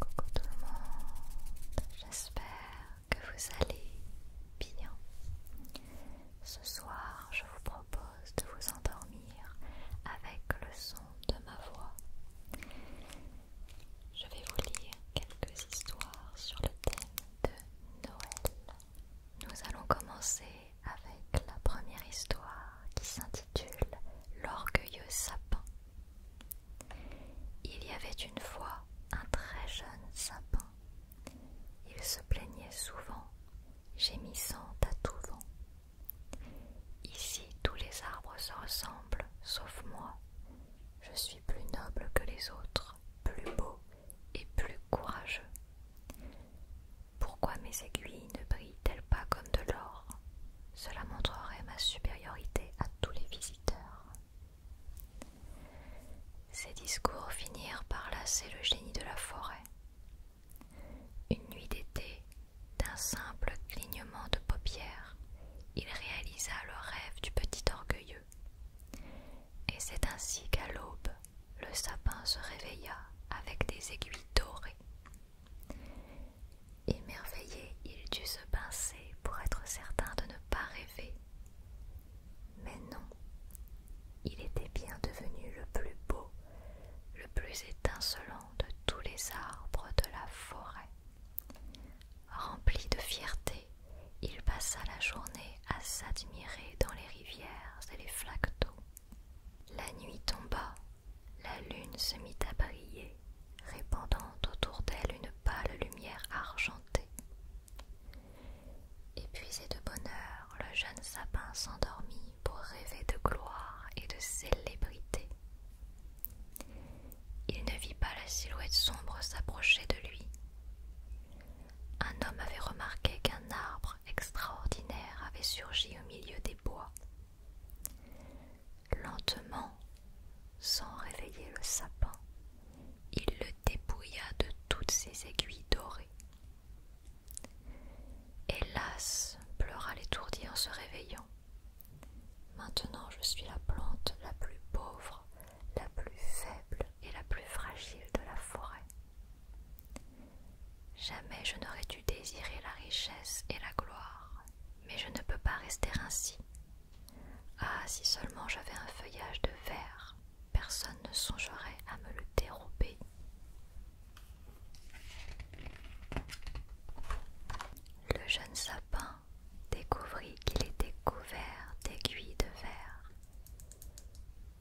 Coucou tout le monde, j'espère que vous allez bien. Ce soir, je vous propose de vous endormir avec le son de ma voix. Je vais vous lire quelques histoires sur le thème de Noël. Nous allons commencer avec la première histoire qui s'intitule L'orgueilleux sapin. Il y avait une fois un très jeune sapin. Il se plaignait souvent, gémissant à tout vent. Ici tous les arbres se ressemblent, sauf moi. Je suis plus noble que les autres, plus beau et plus courageux. Pourquoi mes aiguilles ne brillent-elles pas comme de l'or cela montrerait ma supériorité à tous les visiteurs. Ces discours finirent par lasser le génie de la forêt. Une nuit d'été, d'un simple clignement de paupières, il réalisa le rêve du petit orgueilleux. Et c'est ainsi qu'à l'aube, le sapin se réveilla avec des aiguilles dorées. Émerveillé, il dut se pincer pour être certain de ne pas rêver. Mais non, il était bien devenu le plus beau, le plus étincelant de tous les arbres de la forêt. Rempli de fierté, il passa la journée à s'admirer dans les rivières et les flaques d'eau. La nuit tomba la lune se mit à briller, répandant autour d'elle une pâle lumière argentée. Épuisé de bonheur, le jeune sapin s'endormit pour rêver de gloire et de célébrité. Il ne vit pas la silhouette sombre s'approcher de lui. Un homme avait remarqué qu'un arbre extraordinaire avait surgi au milieu des bois Lentement, sans réveiller le sapin, il le dépouilla de toutes ses aiguilles dorées. Hélas, pleura l'étourdi en se réveillant. Maintenant je suis la plante la plus pauvre, la plus faible et la plus fragile de la forêt. Jamais je n'aurais dû désirer la richesse et la gloire mais je ne peux pas rester ainsi. Ah, si seulement j'avais un feuillage de verre, personne ne songerait à me le dérober. Le jeune sapin découvrit qu'il était couvert d'aiguilles de verre.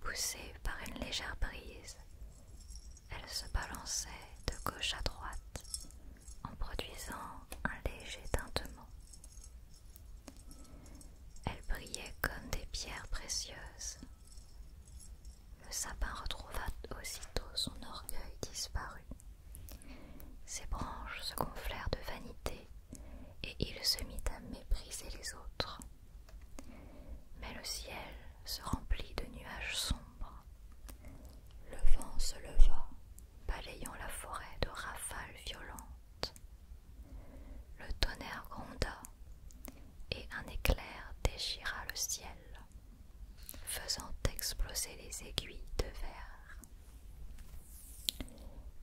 Poussées par une légère brise, elles se balançaient de gauche à droite en produisant un léger tintement. Elles brillaient comme des pierres précieuses. Le sapin retrouva aussitôt son orgueil disparu. Ses branches se gonflèrent de vanité et il se mit à mépriser les autres. Mais le ciel se remplit de nuages sombres le vent se leva, balayant la forêt de rafales violentes. Le tonnerre gronda, et un éclair déchira le ciel, faisant exploser les aiguilles de verre.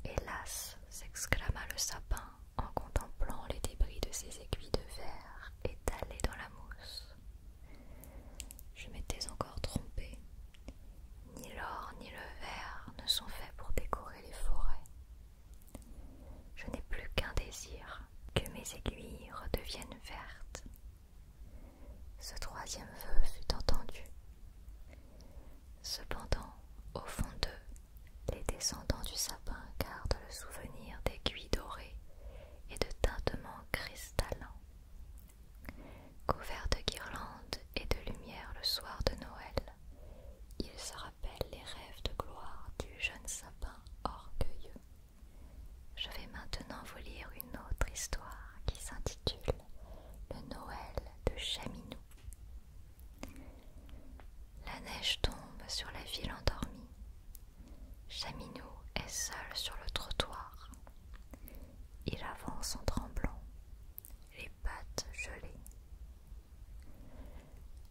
Hélas! s'exclama le sapin en contemplant les débris de ses aiguilles de verre étalées dans la mousse. Je m'étais encore trompée. Ni l'or ni le verre ne sont faits pour décorer les forêts. Je n'ai plus qu'un désir, que mes aiguilles redeviennent vertes. Ce troisième vœu fut entendu. Cependant, au fond d'eux, les descendants du sapin gardent le souvenir d'aiguilles dorées et de tintements cristallins. Couvert de guirlandes et de lumière le soir de Noël, il se rappelle les rêves de gloire du jeune sapin orgueilleux. Je vais maintenant vous lire une autre histoire qui s'intitule Le Noël de Chaminou. La neige tombe sur la ville endormie, Chaminou est seul sur le trottoir. Il avance en tremblant, les pattes gelées.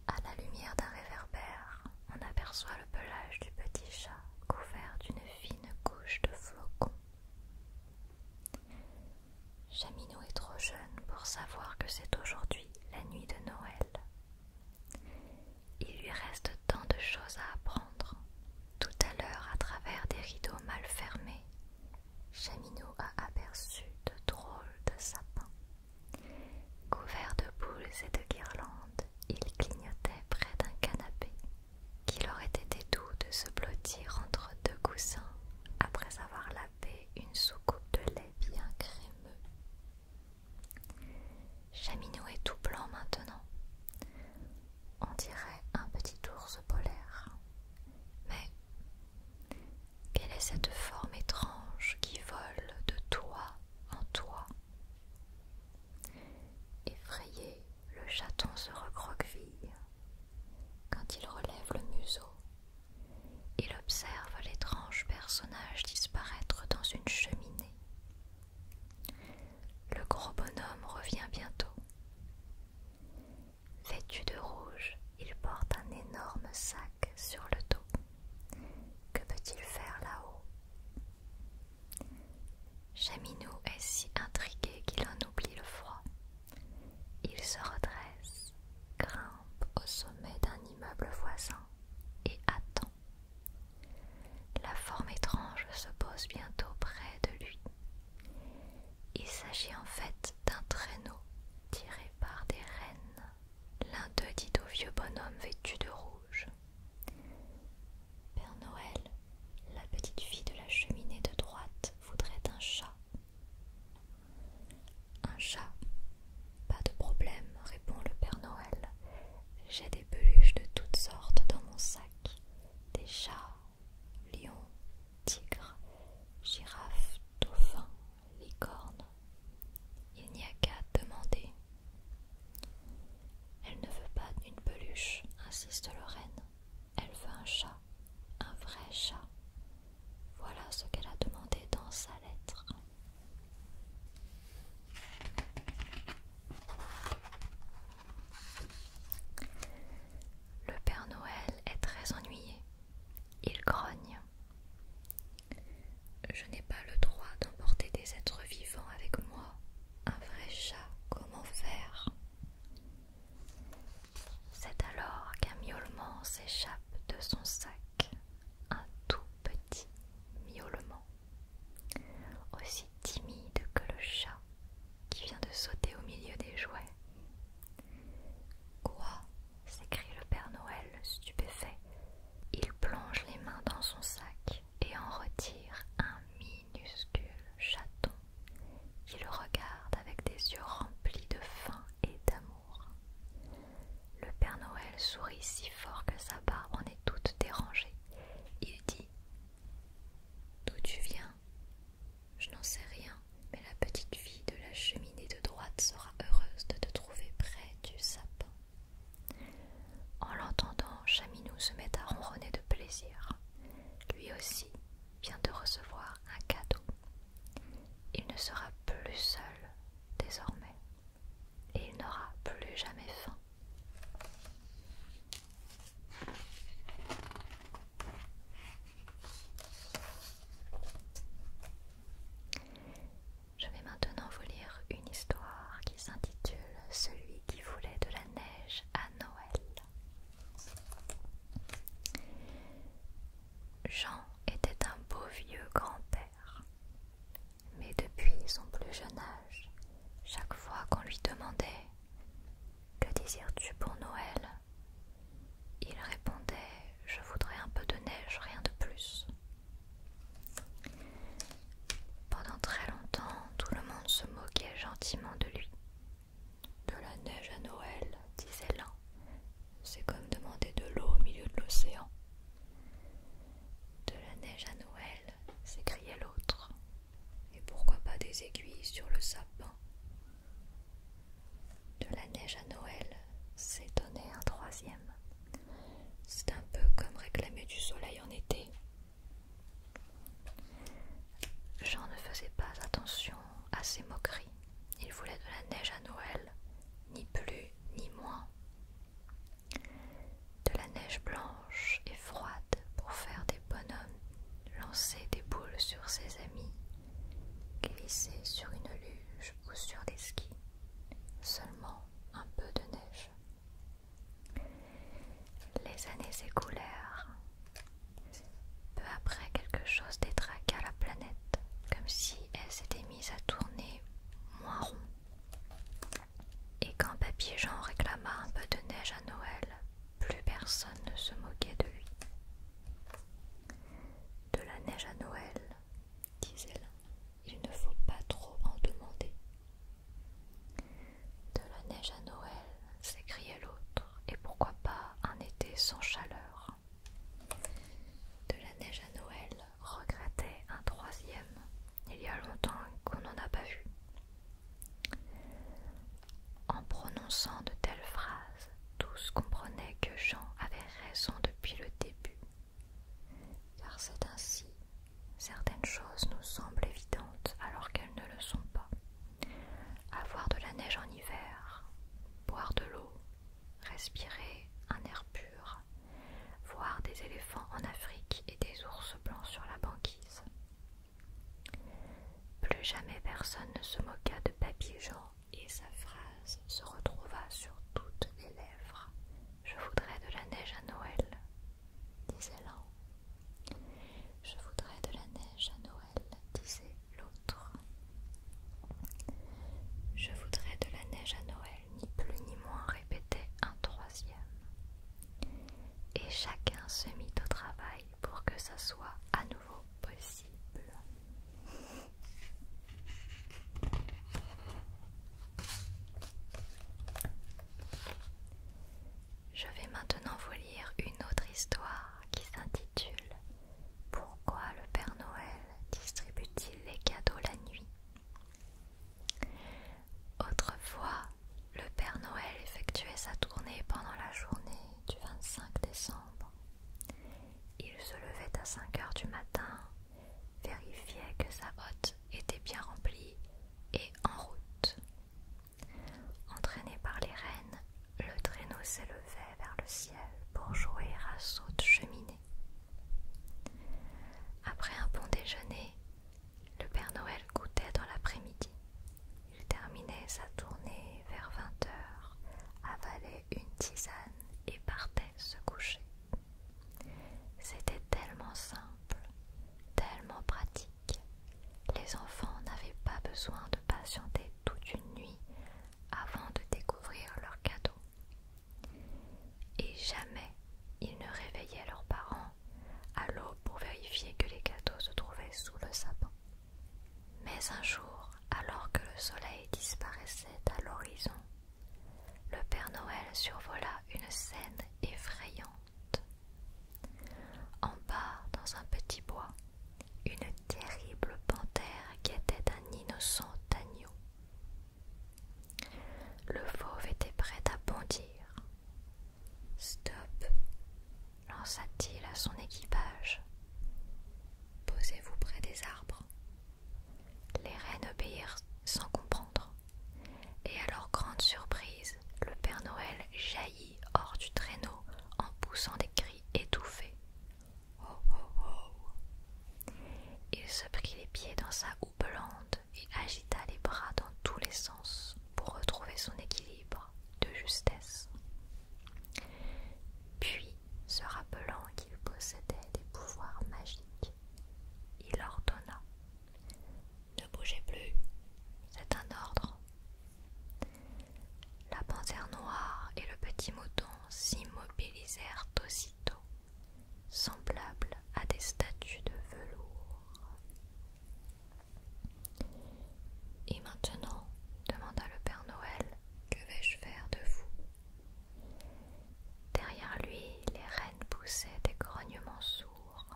À la lumière d'un réverbère, on aperçoit le pelage du petit chat couvert d'une fine couche de flocons. Chaminou est trop jeune pour savoir que c'est aujourd'hui la nuit de Noël. Il lui reste tant de choses à apprendre. Tout à l'heure, à travers des rideaux mal fermés, Chaminou a aperçu de drôles de sapins. Couverts de boules et de guirlandes, il clignotait près d'un canapé. Qu'il aurait été doux de se blottir entre deux coussins après avoir lavé une soucoupe de lait bien crémeux. Chaminot est tout blanc maintenant. On dirait un petit ours polaire. Mais quelle est cette forme étrange qui vole de toi en toi? Effrayé, le chaton se recroqueville. Quand il relève le museau, il observe l'étrange personnage disparaître dans une cheminée. Le gros bonhomme revient bientôt. Vêtu de rouge, il porte un énorme sac sur le dos. Que peut-il faire là-haut Chaminou est si intrigué qu'il en oublie le froid. Il se redresse, grimpe au sommet d'un immeuble voisin et attend. La forme étrange se pose bientôt près de lui. Il s'agit en fait d'un traîneau tiré par des rennes. L'un d'eux dit au vieux bonhomme vêtu de rouge. Père Noël, la petite fille de la cheminée de droite voudrait un chat. Un chat Pas de problème, répond le Père Noël. J'ai des peluches de toutes sortes dans mon sac des chats, lions, tigres, girafes, dauphins, licornes. Il n'y a qu'à demander. Elle ne veut pas une peluche, insiste Lorraine. Elle veut un chat, un vrai chat. Voilà ce qu'elle a demandé dans sa lettre. Le Père Noël est très ennuyé. Il grogne. Je n'ai pas le droit d'emporter des êtres vivants avec moi. Un vrai chat, comment faire C'est alors qu'un miaulement s'échappe de son sac. Un tout petit miaulement aussi timide que le chat qui vient de sauter au milieu des jouets. Quoi s'écrie le Père Noël stupéfait. Il plonge les mains dans son sac et en retire un minuscule chaton qui le regarde avec des yeux remplis de faim et d'amour. Le Père Noël sourit si fort que sa barbe en est toute dérangée. Il dit D'où tu viens Je n'en sais rien, mais la petite fille de la cheminée de droite sera heureuse de te trouver près du sapin. En l'entendant, Chaminou se met à ronronner de plaisir. Lui aussi vient de recevoir un cadeau. Il ne sera plus seul désormais et il n'aura plus jamais faim. Je vais maintenant vous lire une histoire qui s'intitule Celui qui voulait de la neige à Noël. Jean était un beau vieux grand-père. Mais depuis son plus jeune âge, chaque fois qu'on lui demandait Que désires-tu pour Noël il répondait Je voudrais un peu de neige, rien de plus. Pendant très longtemps, tout le monde se moquait gentiment de lui. De la neige à Noël, disait l'un. C'est comme demander de l'eau au milieu de l'océan. De la neige à Noël, s'écriait l'autre. Et pourquoi pas des aiguilles sur le sapin De la neige à Noël, s'étonnait un troisième. C'est un peu comme réclamer du soleil en été. Jean ne faisait pas attention à ces moqueries. Il voulait de la neige à Noël, ni plus ni moins de la neige blanche et froide pour faire des bonhommes, lancer des boules sur ses amis, glisser sur une luge ou sur des skis, seulement un peu de neige. Les années s'écoulèrent. Peu après, quelque chose détraqua la planète, comme si elle s'était mise à tourner moins rond. Et quand papier Jean réclama un peu de neige à Noël, plus personne ne se moquait de lui. De la neige à Noël, disait l'un, il ne faut pas trop en demander. De la neige à Noël, s'écriait l'autre, et pourquoi pas un été sans chaleur. De la neige à Noël, regrettait un troisième. Il y a longtemps qu'on n'en a pas vu. En prononçant de telles phrases, tous comprenaient que Jean avait raison depuis le début, car c'est ainsi, certaines choses nous semblent évidentes alors qu'elles ne le sont pas. Avoir de la neige en hiver, boire de l'eau, respirer un air pur, voir des éléphants en Afrique et des ours blancs sur la banquise, plus jamais personne ne se moqua de Papy et sa phrase se retrouva sur toutes les lèvres. Je voudrais de la neige à Noël, disait l'un. Je voudrais de la neige à Noël, disait l'autre. Je voudrais de la neige à Noël, ni plus ni moins, répétait un troisième et chacun se mit au travail pour que ça soit à nouveau possible. Je vais maintenant vous lire une autre histoire qui s'intitule Pourquoi le Père Noël distribue-t-il les cadeaux la nuit Autrefois, le Père Noël effectuait sa tournée pendant la journée du 25 décembre. Il se levait à 5 heures du matin, vérifiait que sa hotte était bien remplie et en route. Entraîné par les rênes, le traîneau s'élevait vers le ciel pour jouer à saut de cheminée. Après un bon déjeuner, le Père Noël goûtait dans l'après-midi. Il terminait sa tournée vers 20 h avalait une tisane et partait se coucher. C'était tellement simple, tellement pratique. Les enfants n'avaient pas besoin de patienter toute une nuit avant de découvrir leur cadeau et jamais ils ne réveillaient leurs parents à l'eau pour vérifier que les gâteaux se trouvaient sous le sapin. Mais un jour, alors que le soleil disparaissait à l'horizon, le Père Noël survola une scène effrayante. En bas, dans un petit bois, une terrible panthère guettait un innocent agneau. Le fauve était prêt à bondir Stop, lança-t-il à son équipage. Posez-vous près des arbres. Les reines obéirent sans comprendre. Et à leur grande surprise, le Père Noël jaillit hors du traîneau en poussant des cris étouffés. Oh, oh, oh. Il se prit les pieds dans sa houppelande et agita les bras dans tous les sens pour retrouver son équilibre de justesse. Puis, se rappelant qu'il possédait des pouvoirs magiques, il ordonna Ne bougez plus, c'est un ordre. La panthère noire et le petit mouton s'immobilisèrent aussitôt, semblables à des statues de velours. Et maintenant, demanda le Père Noël, que vais-je faire de vous Derrière lui, les rennes poussaient des grognements sourds.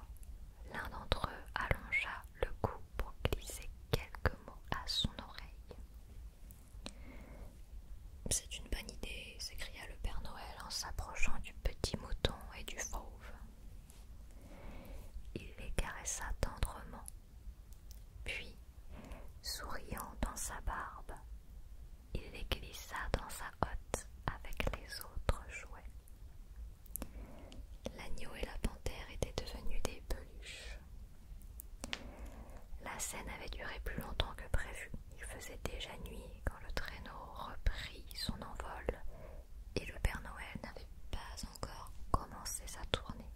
L'un d'entre eux allongea le cou pour glisser quelques mots à son oreille. C'est une bonne idée, s'écria le Père Noël en s'approchant du petit mouton et du faux. Il les caressa tendrement, puis, souriant dans sa barbe, il les glissa dans sa hotte avec les autres jouets. L'agneau et la panthère étaient devenus des peluches. La scène avait duré plus longtemps que prévu. Il faisait déjà nuit le traîneau reprit son envol et le Père Noël n'avait pas encore commencé sa tournée.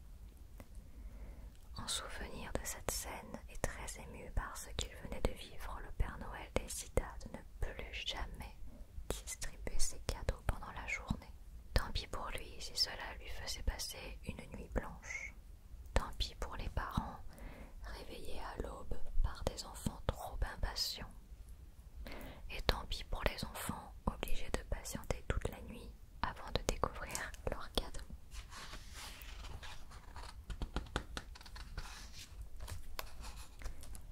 En souvenir de cette scène et très ému par ce qu'il venait de vivre, le Père Noël décida de ne plus jamais distribuer ses cadeaux pendant la journée. Tant pis pour lui si cela lui faisait passer une nuit blanche. Tant pis pour les parents réveillés à l'aube par des enfants trop impatients et tant pis pour les enfants obligés de patienter toute la nuit avant de découvrir leur cadeau.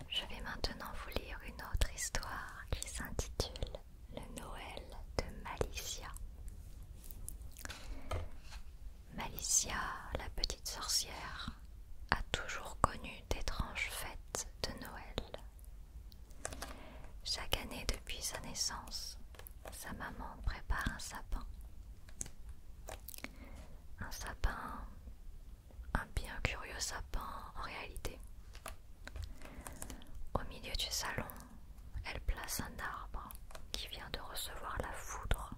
Je vais maintenant vous lire une autre histoire qui s'intitule Le Noël de Malicia. Malicia, la petite sorcière, a toujours connu d'étranges fêtes de Noël. Chaque année depuis sa naissance, sa maman prépare un sapin. Un sapin, un bien curieux sapin en réalité. Au milieu du salon, elle place un arbre qui vient de recevoir la foudre.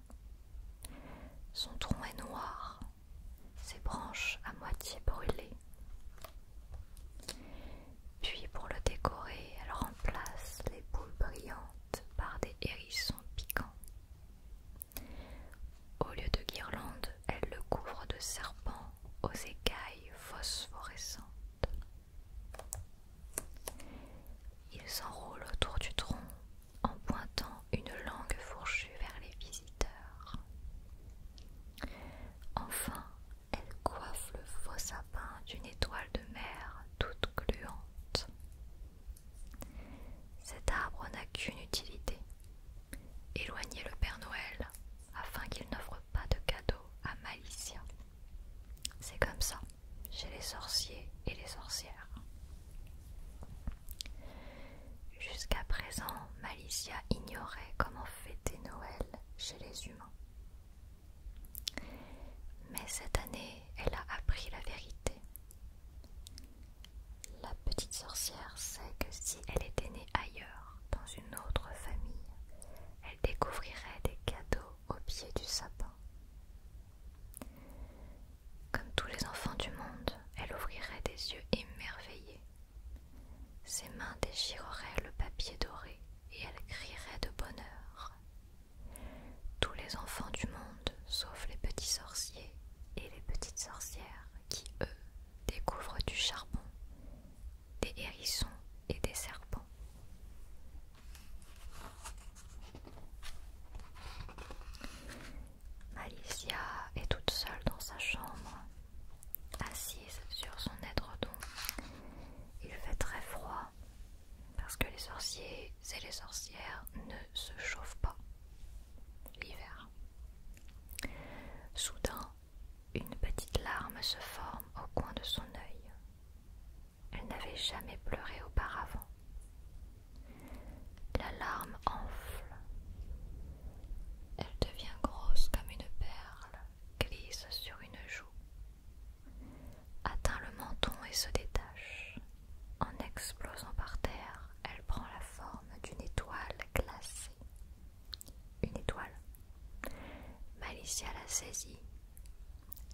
Son tronc est noir ses branches à moitié brûlées. Puis pour le décorer, elle remplace les boules brillantes par des hérissons piquants. Au lieu de guirlandes, elle le couvre de serpents aux écailles phosphorescentes. Il s'enroule autour du tronc en pointant une langue fourchue vers les visiteurs. Enfin, elle coiffe le faux sapin d'une étoile de mer toute gluante. Cet arbre n'a qu'une utilité éloigner le Père Noël afin qu'il n'offre pas de cadeaux à Malicia. C'est comme ça chez les sorciers et les sorcières. Jusqu'à présent, Malicia ignorait comment fêter Noël chez les humains. Mais cette année, elle a appris la vérité. La petite sorcière sait que si elle était née ailleurs, dans une autre famille, elle découvrirait des cadeaux au pied du sapin. Comme tous les enfants du monde, elle ouvrirait des yeux émerveillés. Ses mains déchireraient le papier doré et elle crierait de bonheur. Tous les enfants du monde, sauf les petits sorciers et les petites sorcières, qui, eux, découvrent du charbon, des hérissons et des serpents. Alicia est toute seule dans sa chambre, assise sur son édredon. Il fait très froid parce que les sorciers et les sorcières ne se chauffent pas l'hiver. Soudain, une petite larme se forme au coin de son œil. Elle n'avait jamais pleuré auparavant. La larme enfle. Elle devient grosse comme une perle, glisse sur une joue, atteint le menton et se détache. En explosant par terre, elle prend la forme d'une étoile glacée. Une étoile. Malicia la saisit,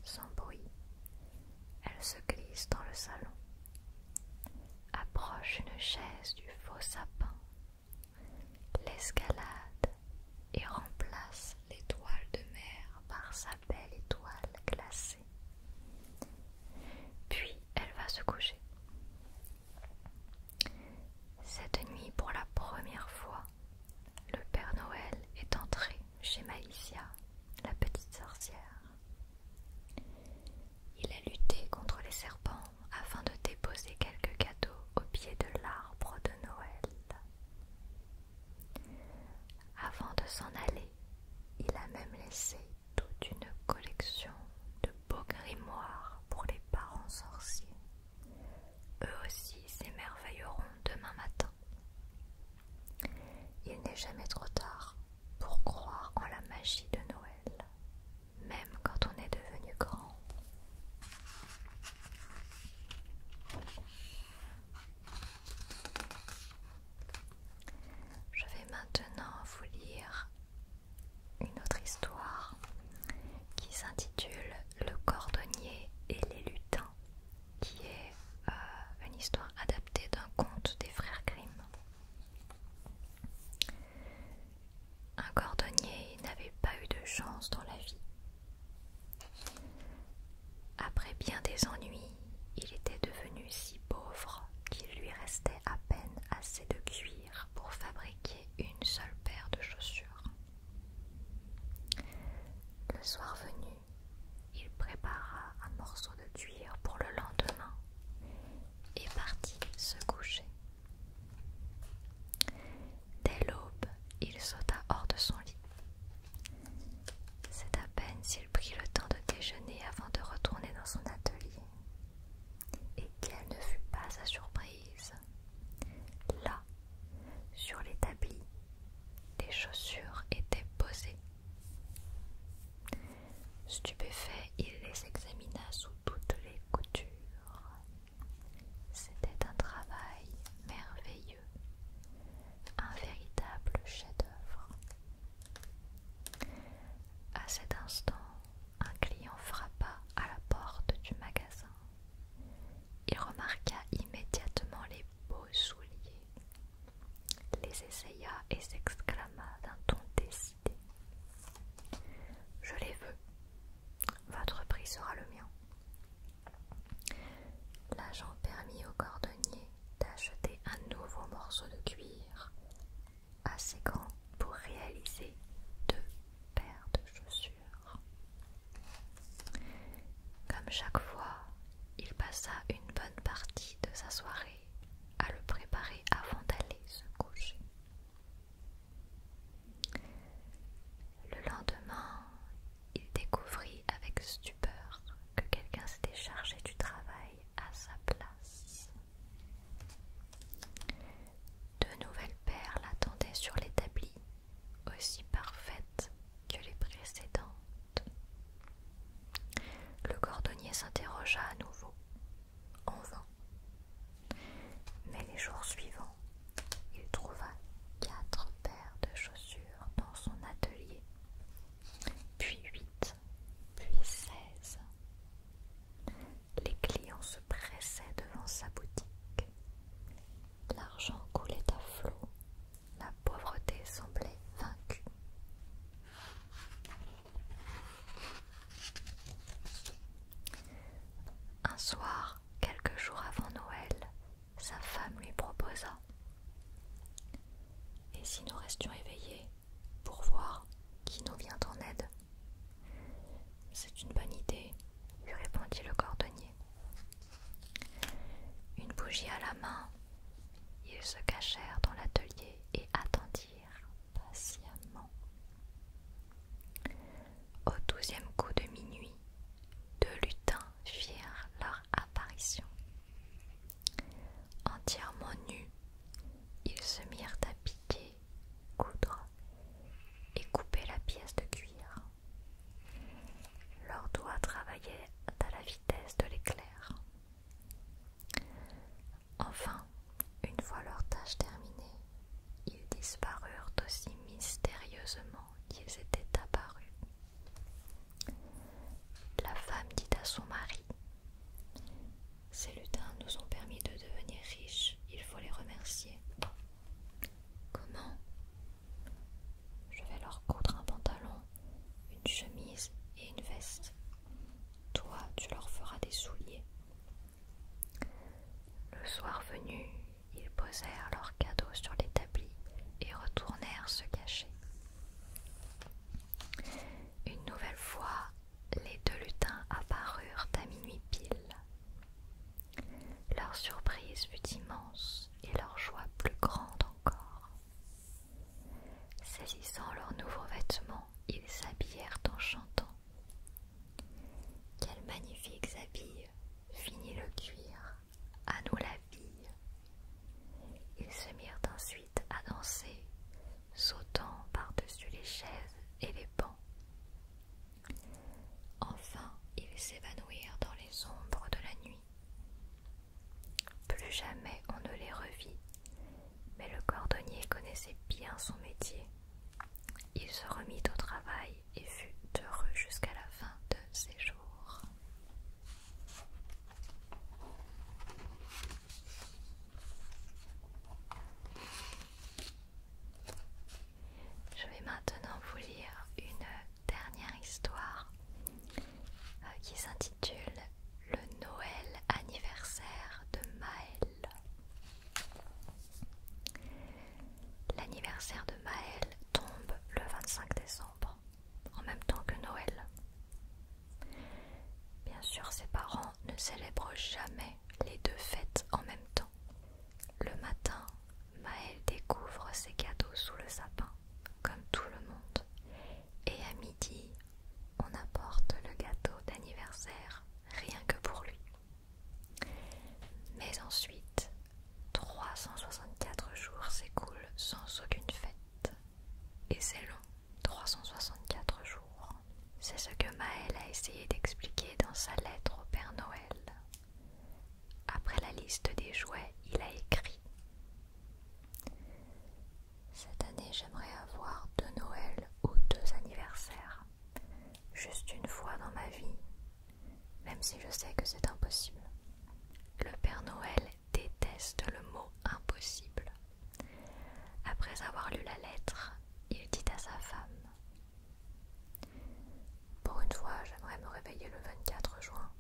sans bruit, elle se glisse dans le salon, approche une chaise du faux sapin, l'escalade et remplace l'étoile de mer par sa belle étoile glacée. Puis elle va se coucher. Cette nuit, pour la première fois, le Père Noël est entré chez Maïsia, la petite sorcière. Il a lutté contre les serpents afin de déposer quelques cadeaux au pied de l'arbre de Noël. Avant de s'en aller, il a même laissé toute une collection de beaux grimoires pour les parents sorciers. Eux aussi s'émerveilleront demain matin. Il n'est jamais trop tard pour croire en la magie de Noël, même quand on est devenu grand. Je vais maintenant vous lire une autre histoire qui s'intitule Le cordonnier et les lutins, qui est euh, une histoire adaptée d'un conte des frères Grimm. Un cordonnier n'avait pas eu de chance dans la vie. Après bien des ennuis, il était devenu si pauvre qu'il lui restait à peine assez de cuir pour fabriquer une seule paire de chaussures. Le soir venu, il prépara un morceau de cuir pour le lendemain et partit se coucher. Dès l'aube, il sauta hors de son lit. C'est à peine s'il prit le temps de déjeuner avant de retourner dans son atelier. Et quelle ne fut pas sa surprise Là, sur l'établi, des chaussures étaient posées. Stupéfait, il les examina sous toutes les coutures. C'était un travail merveilleux, un véritable chef-d'œuvre. À cet instant, un client frappa à la porte du magasin. Il remarqua immédiatement les beaux souliers les essaya et s'exclama d'un ton décidé. Je les veux. Votre prix sera le mien. L'agent permit au cordonnier d'acheter un nouveau morceau de cuir assez grand pour réaliser deux paires de chaussures. Comme chaque fois, il passa une bonne partie de sa soirée à le préparer avant d'aller se coucher. Le lendemain, il découvrit avec stupeur que quelqu'un s'était chargé du travail à sa place. De nouvelles perles l'attendaient sur l'établi, aussi parfaites que les précédentes. Le cordonnier s'interrogea à nouveau, en vain. Mais les jours suivants, il trouva quatre paires de chaussures dans son atelier, puis huit, puis seize. Les clients se pressaient devant sa boutique. L'argent coulait à flot. La pauvreté semblait vaincue. Un soir, quelques jours avant Noël, sa femme lui proposa Et si nous restions éveillés pour voir qui nous vient en aide C'est une bonne idée, lui répondit le cordonnier. Une bougie à la main, ils se cachèrent dans l'atelier et attendirent patiemment. Au douzième coup de minuit, deux lutins firent leur apparition. Entièrement nus, ils se mirent à piquer, coudre et couper la pièce de cuir. Leurs doigts travaillaient à la vitesse de l'éclair. Enfin, une fois leur tâche terminée, ils disparurent aussi mystérieusement qu'ils étaient apparus. La femme dit à son mari Ces lutins nous ont permis de devenir riches, il faut les remercier. Comment Je vais leur coudre un pantalon une chemise et une veste. Toi, tu leur feras des souliers. Le soir venu, ils posèrent leurs cadeaux sur l'établi et retournèrent se cacher. Une nouvelle fois, les deux lutins apparurent à minuit pile. Leur surprise fut immense et leur joie plus grande encore. Saisissant leurs nouveaux vêtements, ils s'habillèrent en chantant. Quels magnifiques habits Fini le cuir, à nous la vie. Ils se mirent ensuite à danser, sautant par-dessus les chaises et les bancs. Enfin, ils s'évanouirent dans les ombres de la nuit. Plus jamais on ne les revit, mais le cordonnier connaissait bien son métier. Il se remit au travail et fut heureux jusqu'à la fin de ses jours. Je vais maintenant vous lire une dernière histoire euh, qui s'intitule le Noël anniversaire de Maël. L'anniversaire de Maël tombe le 25 décembre, en même temps que Noël. Bien sûr, ses parents ne célèbrent jamais les deux fêtes en même temps. Le matin, Maël découvre ses cadeaux sous le sapin, comme tout le monde, et à midi, on apporte le gâteau d'anniversaire rien que pour lui. Mais ensuite, 364 jours s'écoulent sans aucune fête. Et c'est long, 364 jours. C'est ce que Maël a essayé d'expliquer dans sa lettre au Père Noël. Après la liste des jouets, il a écrit cette année, j'aimerais avoir deux Noëls ou deux anniversaires. Juste une fois dans ma vie, même si je sais que c'est impossible. Le Père Noël déteste le mot impossible. Après avoir lu la lettre, il dit à sa femme Pour une fois, j'aimerais me réveiller le 24 juin.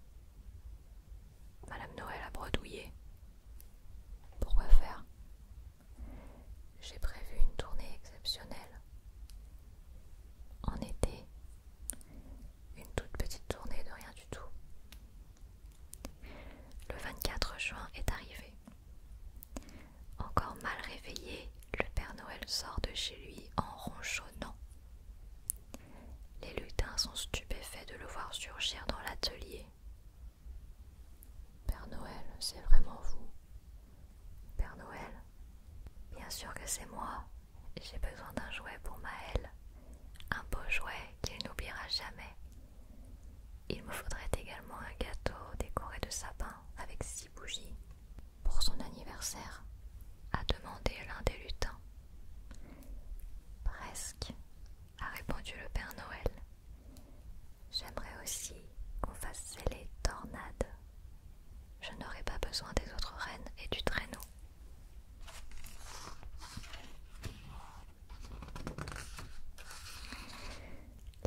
Madame Noël a bredouillé. Pourquoi faire J'ai prévu une tournée exceptionnelle. En été, une toute petite tournée de rien du tout. Le 24 juin est arrivé. Encore mal réveillé, le Père Noël sort de chez lui en ronchonnant. Les lutins sont stupéfaits de le voir surgir dans l'atelier. Père Noël, c'est vraiment vous. Père Noël Bien sûr que c'est moi. J'ai besoin d'un jouet pour Maël. Un beau jouet qu'il n'oubliera jamais. Il me faudrait également un gâteau décoré de sapin avec six bougies pour son anniversaire, a demandé l'un des lutins. Presque, a répondu le Père Noël. J'aimerais aussi qu'on fasse les tornades. Je n'aurai pas besoin des autres reines et du traîneau.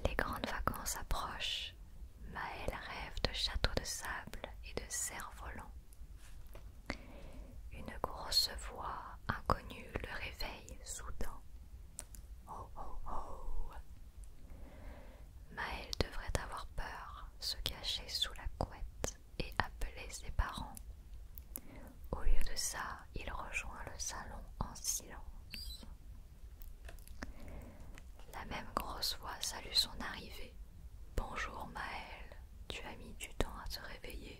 Les grandes vacances approchent. Maëlle rêve de châteaux de sable et de cerfs-volants. Une grosse voix inconnue le réveille soudain. Oh oh oh Maël devrait avoir peur, se cacher sous la couette et appeler ses parents. Au lieu de ça, il rejoint le salon en silence. La même grosse voix salue son arrivée. Bonjour Maël, tu as mis du temps à te réveiller.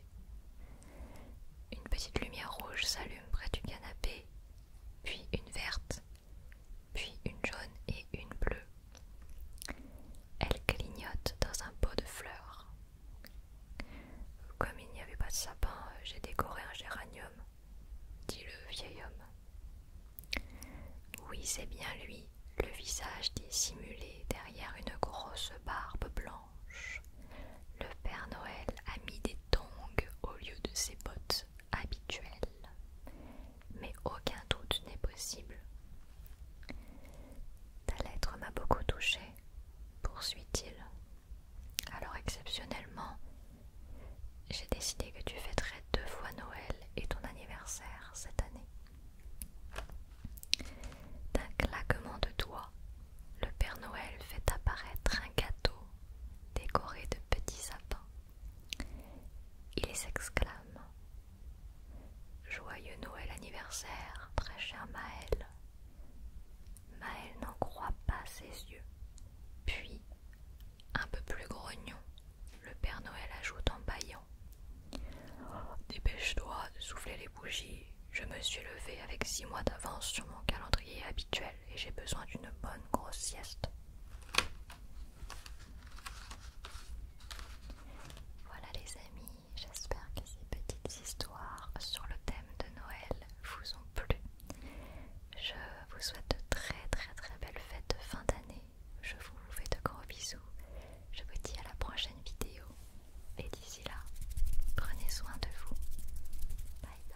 Une petite lumière rouge s'allume près du canapé, puis une verte, puis une jaune et une bleue. Elle clignote dans un pot de fleurs. Comme il n'y avait pas de sapin, j'ai décoré un géranium, dit le vieil homme. Oui, c'est bien lui, le visage dissimulé derrière une grosse barbe blanche le Père Noël a mis des tongs au lieu de ses bottes habituelles. Mais aucun doute n'est possible. Ta lettre m'a beaucoup touché, poursuit-il. Alors exceptionnellement, j'ai décidé que tu fêterais deux fois Noël et ton anniversaire cette année. D'un claquement de doigts, le Père Noël fait apparaître un gâteau décoré de petits sapins. Il s'exclame Joyeux Noël anniversaire, très cher Maël. Maël n'en croit pas ses yeux. Puis, un peu plus grognon, le Père Noël ajoute en bâillant Dépêche-toi de souffler les bougies je me suis levée avec 6 mois d'avance sur mon calendrier habituel et j'ai besoin d'une bonne grosse sieste. Voilà les amis, j'espère que ces petites histoires sur le thème de Noël vous ont plu. Je vous souhaite de très très très belles fêtes de fin d'année. Je vous fais de gros bisous. Je vous dis à la prochaine vidéo. Et d'ici là, prenez soin de vous. Bye bye.